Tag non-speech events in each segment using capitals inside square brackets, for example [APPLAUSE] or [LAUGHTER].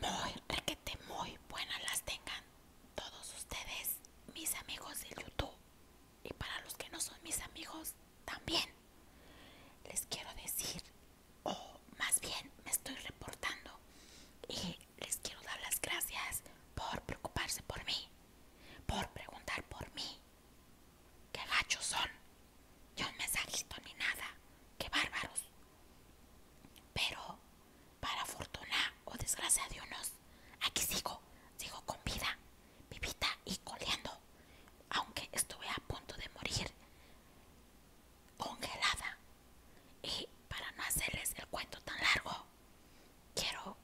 Muy requete, muy buenas las tengan todos ustedes, mis amigos de YouTube. Y para los que no son mis amigos, también les quiero decir, o más bien me estoy reportando y les quiero dar las gracias por preocuparse por mí, por preguntar por mí. Qué gachos son, yo me mensajito ni nada, qué bárbaros. Pero, para fortuna o desgracia de unos, aquí sigo, sigo con vida, vivita y coleando, aunque estuve a punto de morir congelada. Y para no hacerles el cuento tan largo, quiero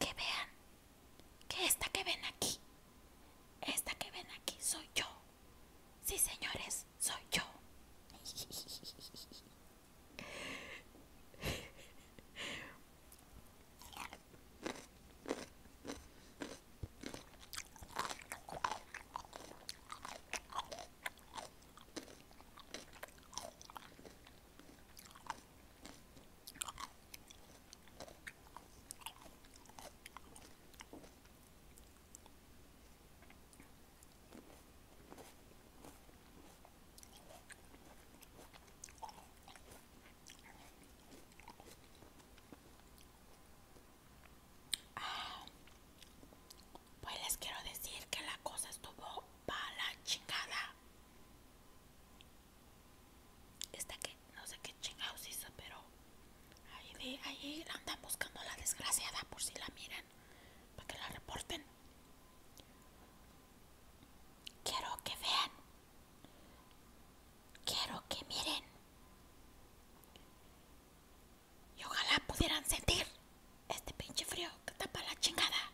que vean que esta que ven aquí, esta que ven aquí soy yo. Sí, señores, soy yo. Ah, pues les quiero decir que la cosa estuvo para la chingada. Esta que no sé qué chingados hizo, pero Ahí, de, andan buscando a la desgraciada por si la miran, para que la reporten. Quiero que vean. Quiero que miren. Y ojalá pudieran sentir este pinche frío que tapa la chingada.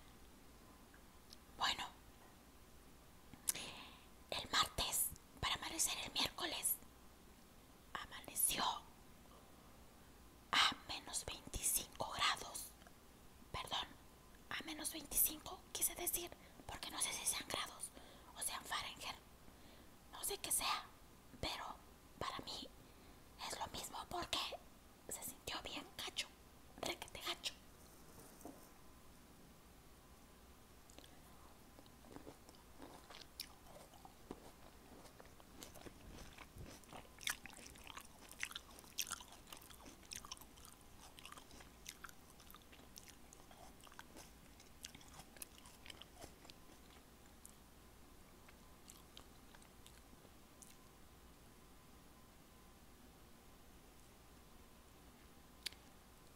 Bueno, el martes, para amanecer el miércoles, amaneció a menos 25 grados. Perdón, a menos 25 quise decir, porque no sé si sean grados o sean Fahrenheit. No sé qué sea, pero para mí es lo mismo porque se sintió bien gacho, requete gacho.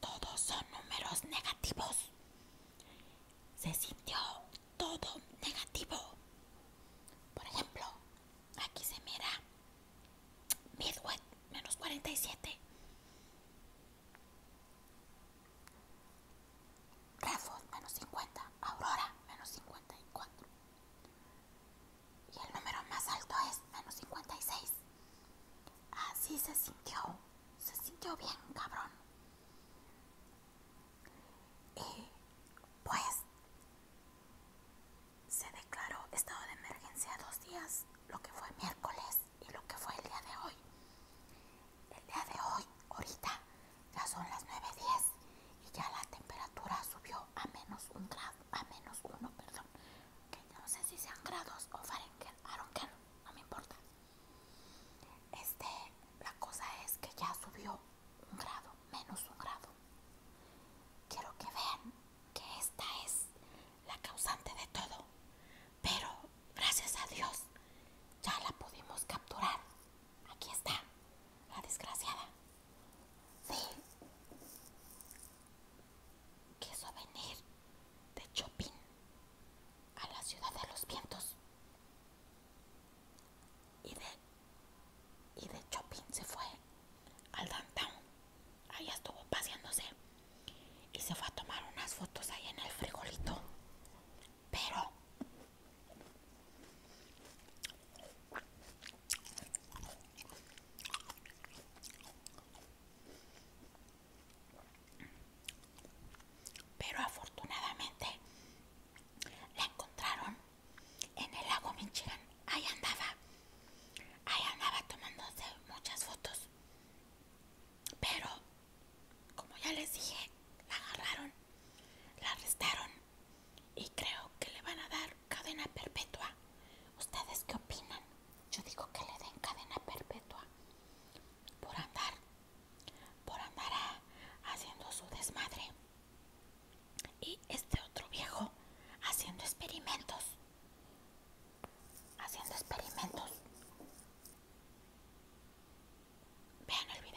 Todos son números negativos. Se sintió todo negativo. Por ejemplo, aquí se mira Midway, menos 47. menos 50. Aurora menos 54. Y el número más alto es menos 56. Así se sintió. Se sintió bien, cabrón y pues se declaró estado de emergencia dos días, lo que fue miércoles y lo que fue el día de hoy. El día de hoy, ahorita, ya son las 9.10 y ya la temperatura subió a menos un grado, a menos uno, perdón, que no sé si sean grados o Fahrenheit, no me importa. Este, la cosa es que ya subió un grado, menos un grado. Quiero que vean que esta es la causante de todo, pero gracias a Dios ya la pudimos capturar. Aquí está, la desgraciada. Sí, quiso venir de Chopin a la ciudad de los vientos y de, y se fue al downtown. Ahí estuvo paseándose y se fue a tomar unas fotos ahí en el frijolito. Pero Pero afortunadamente la encontraron en el lago Michigan. Ahí andaba, ahí andaba tomándose muchas fotos. Pero, como ya les dije, la agarraron, la arrestaron y creo que le van a dar cadena perpetua. ¿Ustedes qué opinan? Yo digo que le den cadena perpetua por andar por andar ah, haciendo su desmadre. Y este otro viejo haciendo experimentos. Haciendo experimentos. Vean el video.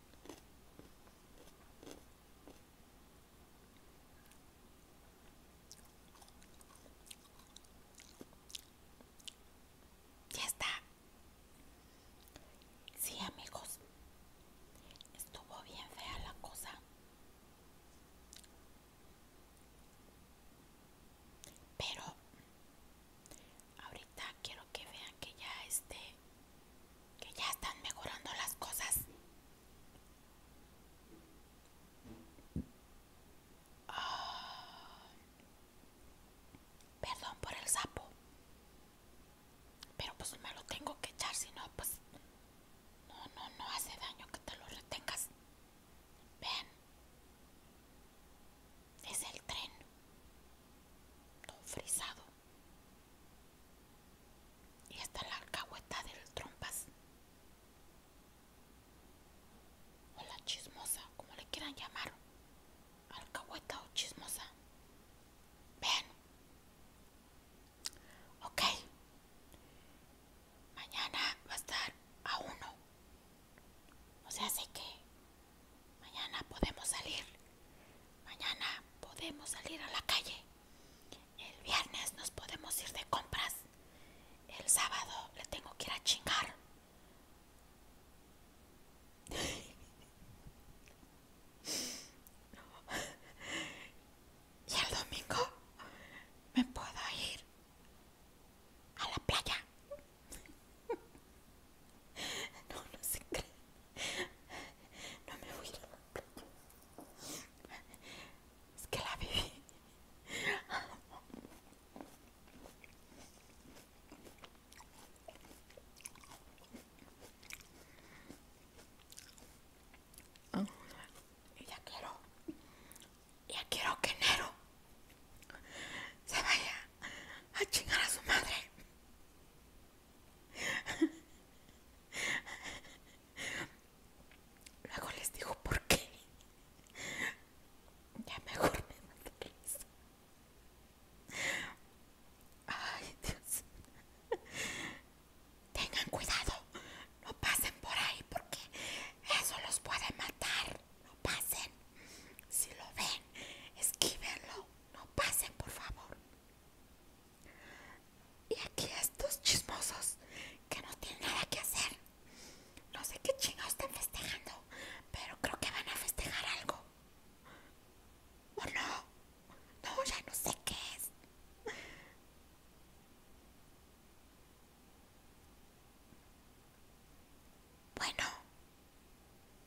Ya está. Sí, amigos. Estuvo bien fea la cosa. Pero Ahorita quiero que vean que ya este que ya están mejorando las cosas. Ah, perdón por el sapo. Pero pues me lo tengo que echar, si no, pues... No, no, no hace daño que te lo retengas. Vean. Es el tren. frisado. Y está la alcahueta del trompas. O la chismosa, como le quieran llamar. Alcahueta o chismosa. Ven Ok. Mañana va a estar a uno. O sea, sé que Mañana podemos salir. Mañana podemos salir a la calle. El viernes nos podemos ir de compras. El sábado le tengo que ir a chingar. [LAUGHS] Y el domingo me puedo ir a la playa. [LAUGHS] No, no se cree. No me voy a Es que la viví. [LAUGHS] Oh, ya quiero, ya quiero que Nero se vaya a chingar a su madre. Luego les digo por qué. Ya mejor me mato Ay, Dios. Tengan cuidado. No pasen por ahí porque eso los puede matar. No pasen. Si lo ven, esquívenlo. No pasen, por favor. Y aquí estos chismosos que no tienen nada que hacer. No sé qué chingados están festejando, pero creo que van a festejar algo. ¿O no? No, ya no sé qué es. Bueno,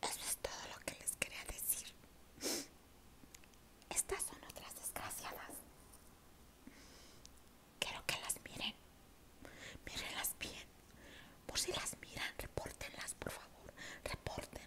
eso es todo lo que les quería decir. Estas son otras desgraciadas. Quiero que las miren. Mírenlas bien. Por si las miran, repórtenlas, por favor. Repórtenlas.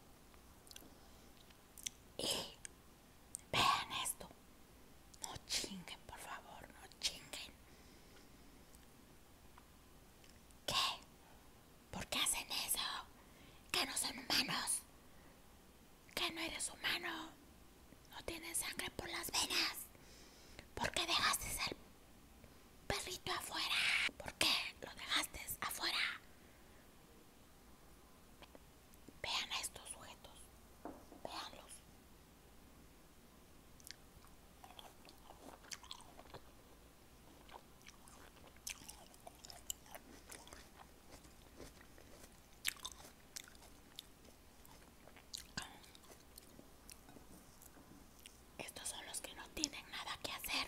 Y vean esto. No chinguen, por favor, no chinguen. ¿Qué? ¿Por qué hacen eso? Que no son humanos. Que no eres humano. No tienes sangre por las venas. ¿Por qué dejaste ser perrito afuera? ¿Por qué lo dejaste afuera? Vean a estos sujetos. Veanlos. Estos son los que no tienen nada que hacer.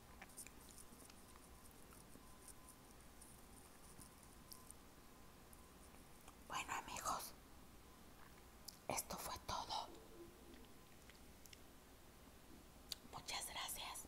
Bueno amigos, esto fue todo. Muchas gracias.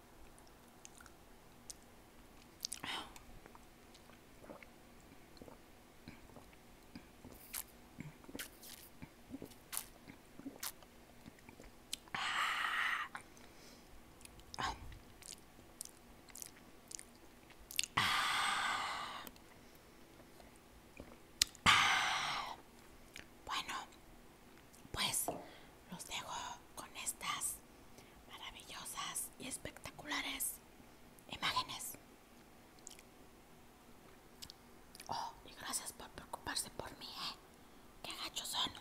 Ah. Ah. Ah. Bueno, pues los dejo con estas maravillosas y espectaculares imágenes. Oh, y gracias por preocuparse por mí, ¿eh? Qué gachos son.